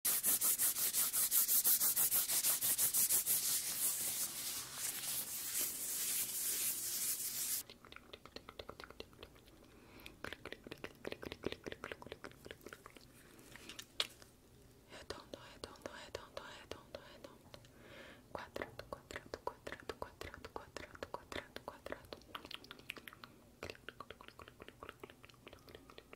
Redondo, redondo, redondo, redondo, redondo. Quadrado, quadrado, quadrado, quadrado, quadrado, quadrado, quadrado.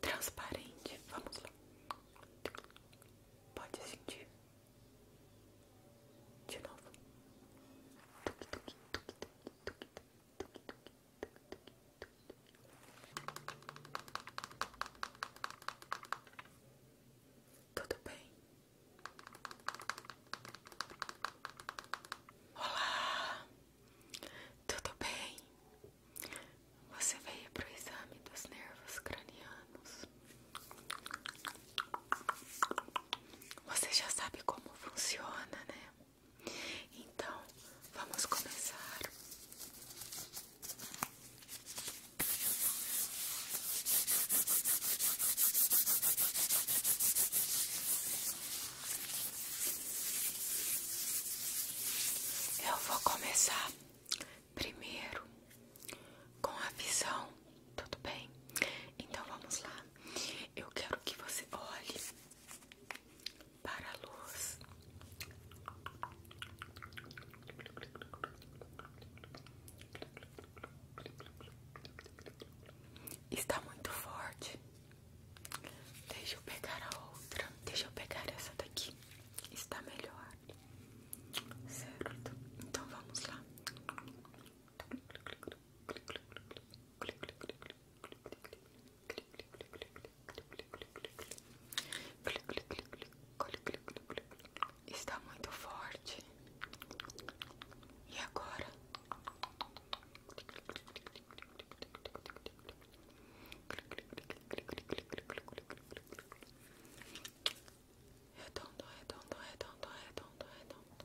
Transparente, vamos lá. Pode sentir. De novo. Tudo bem? Olá, tudo bem? Você veio para o exame dos nervos cranianos. Você já sabe como funciona, né? Então, vamos começar. Eu vou começar primeiro com a visão, tudo bem? Então vamos lá. Eu quero que você olhe para a luz. Está muito forte. Deixa eu pegar a outra. Deixa eu pegar essa daqui. Está melhor certo? Então vamos lá. Está muito forte. E agora? Redondo, redondo, redondo, redondo, redondo.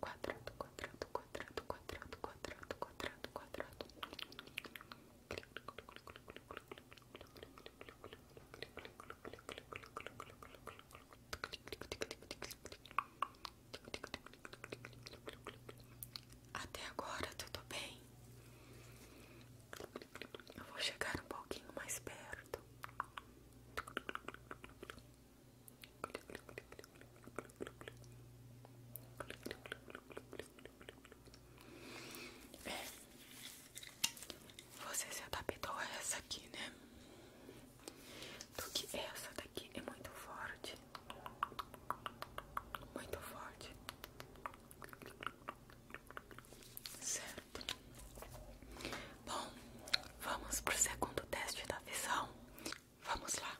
Quadrado, quadrado, quadrado, quadrado, quadrado, quadrado, quadrado. Até agora tudo bem vou chegar um pouquinho mais perto. É. Você se adaptou a essa aqui, né? do que essa daqui é muito forte. Muito forte. Certo. Bom, vamos pro segundo teste da visão. Vamos lá.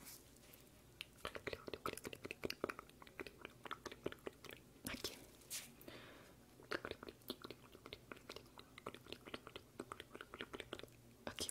Aqui. Aqui.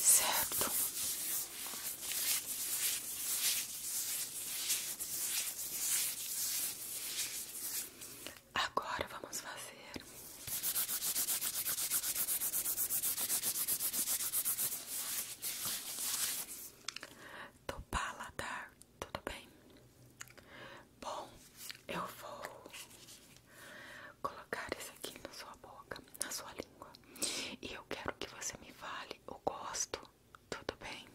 Certo? Agora vamos fazer do paladar, tudo bem? Bom, eu vou colocar isso aqui na sua boca, na sua língua. E eu quero que você me fale o gosto, tudo bem?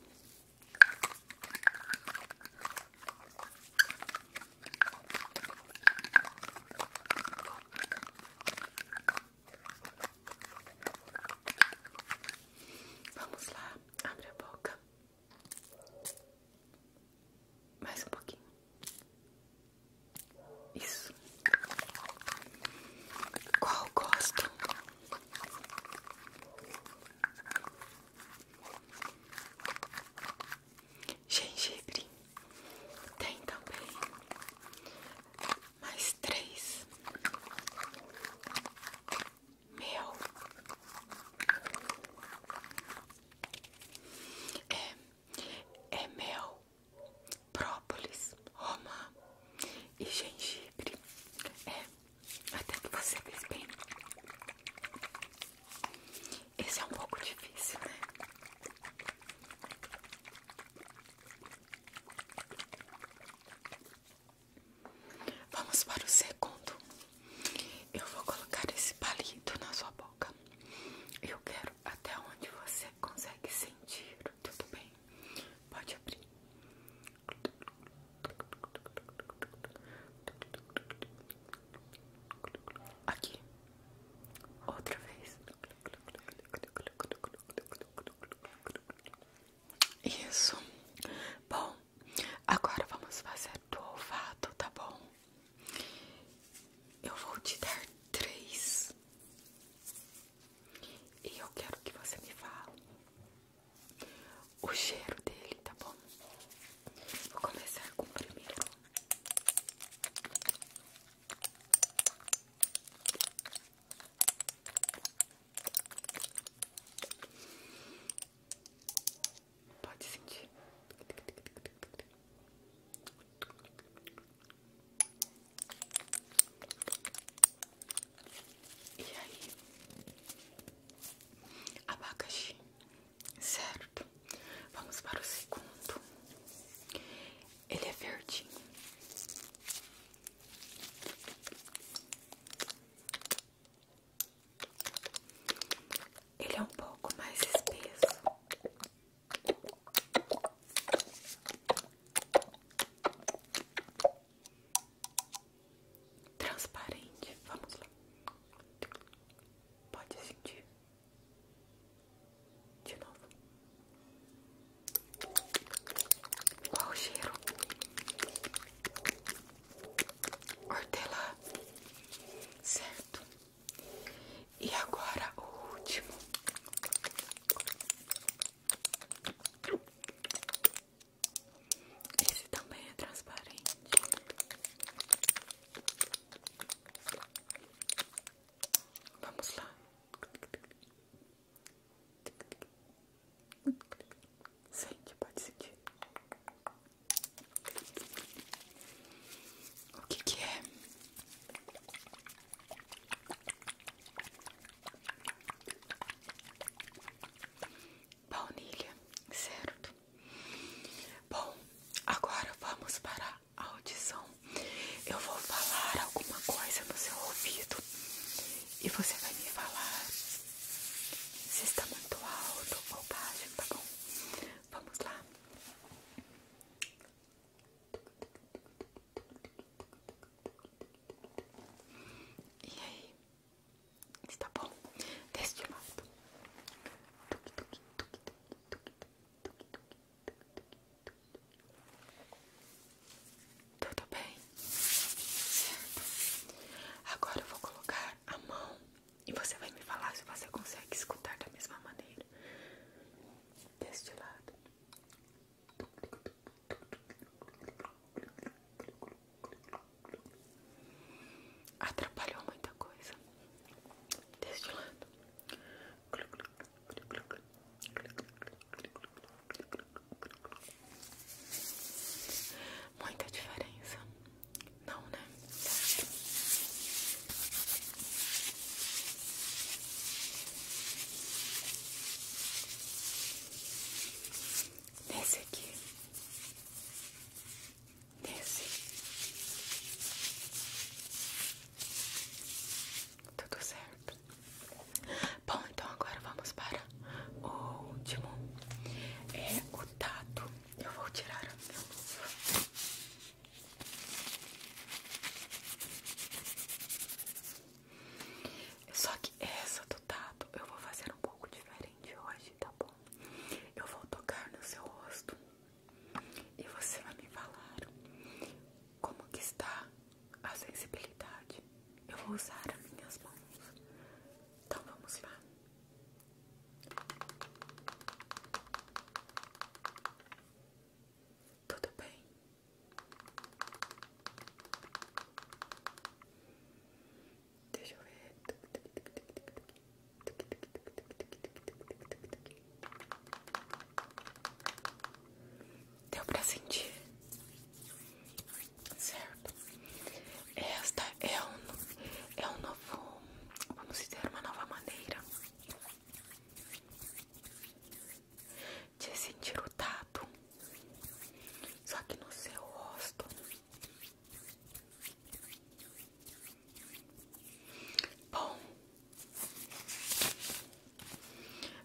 Vamos lá, abre a boca. Mais um pouquinho. Isso. Qual gosto? Gengibre. Tem também. Mais três. mel É. É mel própolis, romã e gengibre. É, até que você fez bem. Esse é um pouco difícil, né? Vamos para o segundo. Eu vou colocar esse palito na sua boca. Eu quero até onde você consegue sentir, tudo bem? Pode abrir. Aqui. Outra vez. Isso. Bom, agora vamos fazer do olfato, tá bom? Eu vou te dar três. E eu quero que você me fale o cheiro dele, tá bom? Vou começar com o primeiro. Pode sentir. E aí, abacaxi, certo? Vamos para o segundo. Ele é verdinho. Ele é um pouco mais espesso. Transparente, vamos lá. Pode sentir de novo. Qual o cheiro? Hortelã, certo? E agora o último. Esse também é transparente. Vamos lá. Sente, pode sentir. O que é? Baunilha, certo? Bom, agora vamos para a audição. Eu vou falar alguma coisa no seu ouvido e você vai me falar se está muito alto ou baixo, tá bom? Vamos lá. E aí? Está bom? Deste modo. Tudo bem? Agora eu vou colocar a mão e você vai me falar se você consegue escutar da mesma maneira. Deste lado. Atrapalhou muita coisa. Deste lado. Muita diferença. Não, né? Certo. Nesse aqui. Nesse. Tá tudo certo. Bom, então agora vamos para o último. É o tato. Eu vou tirar só que essa do tato eu vou fazer um pouco diferente hoje, tá bom? Eu vou tocar no seu rosto e você vai me falar como que está a sensibilidade. Eu vou usar as minhas mãos. Então vamos lá. Tudo bem. Deixa eu ver. Deu pra sentir? Certo? Esta é um, é um novo vamos idear uma nova maneira de sentir o tato, só que no seu rosto. Bom,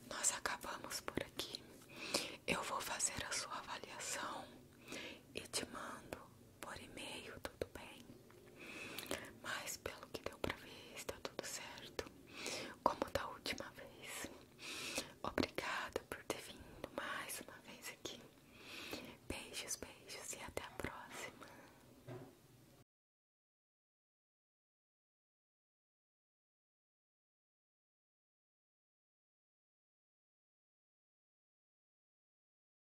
nós acabamos por aqui. Eu vou fazer a sua avaliação e te mando por e-mail, tudo bem. Mas pelo que deu pra ver, está tudo certo. Como da última vez. Obrigada por ter vindo mais uma vez aqui. Beijos, beijos e até a próxima.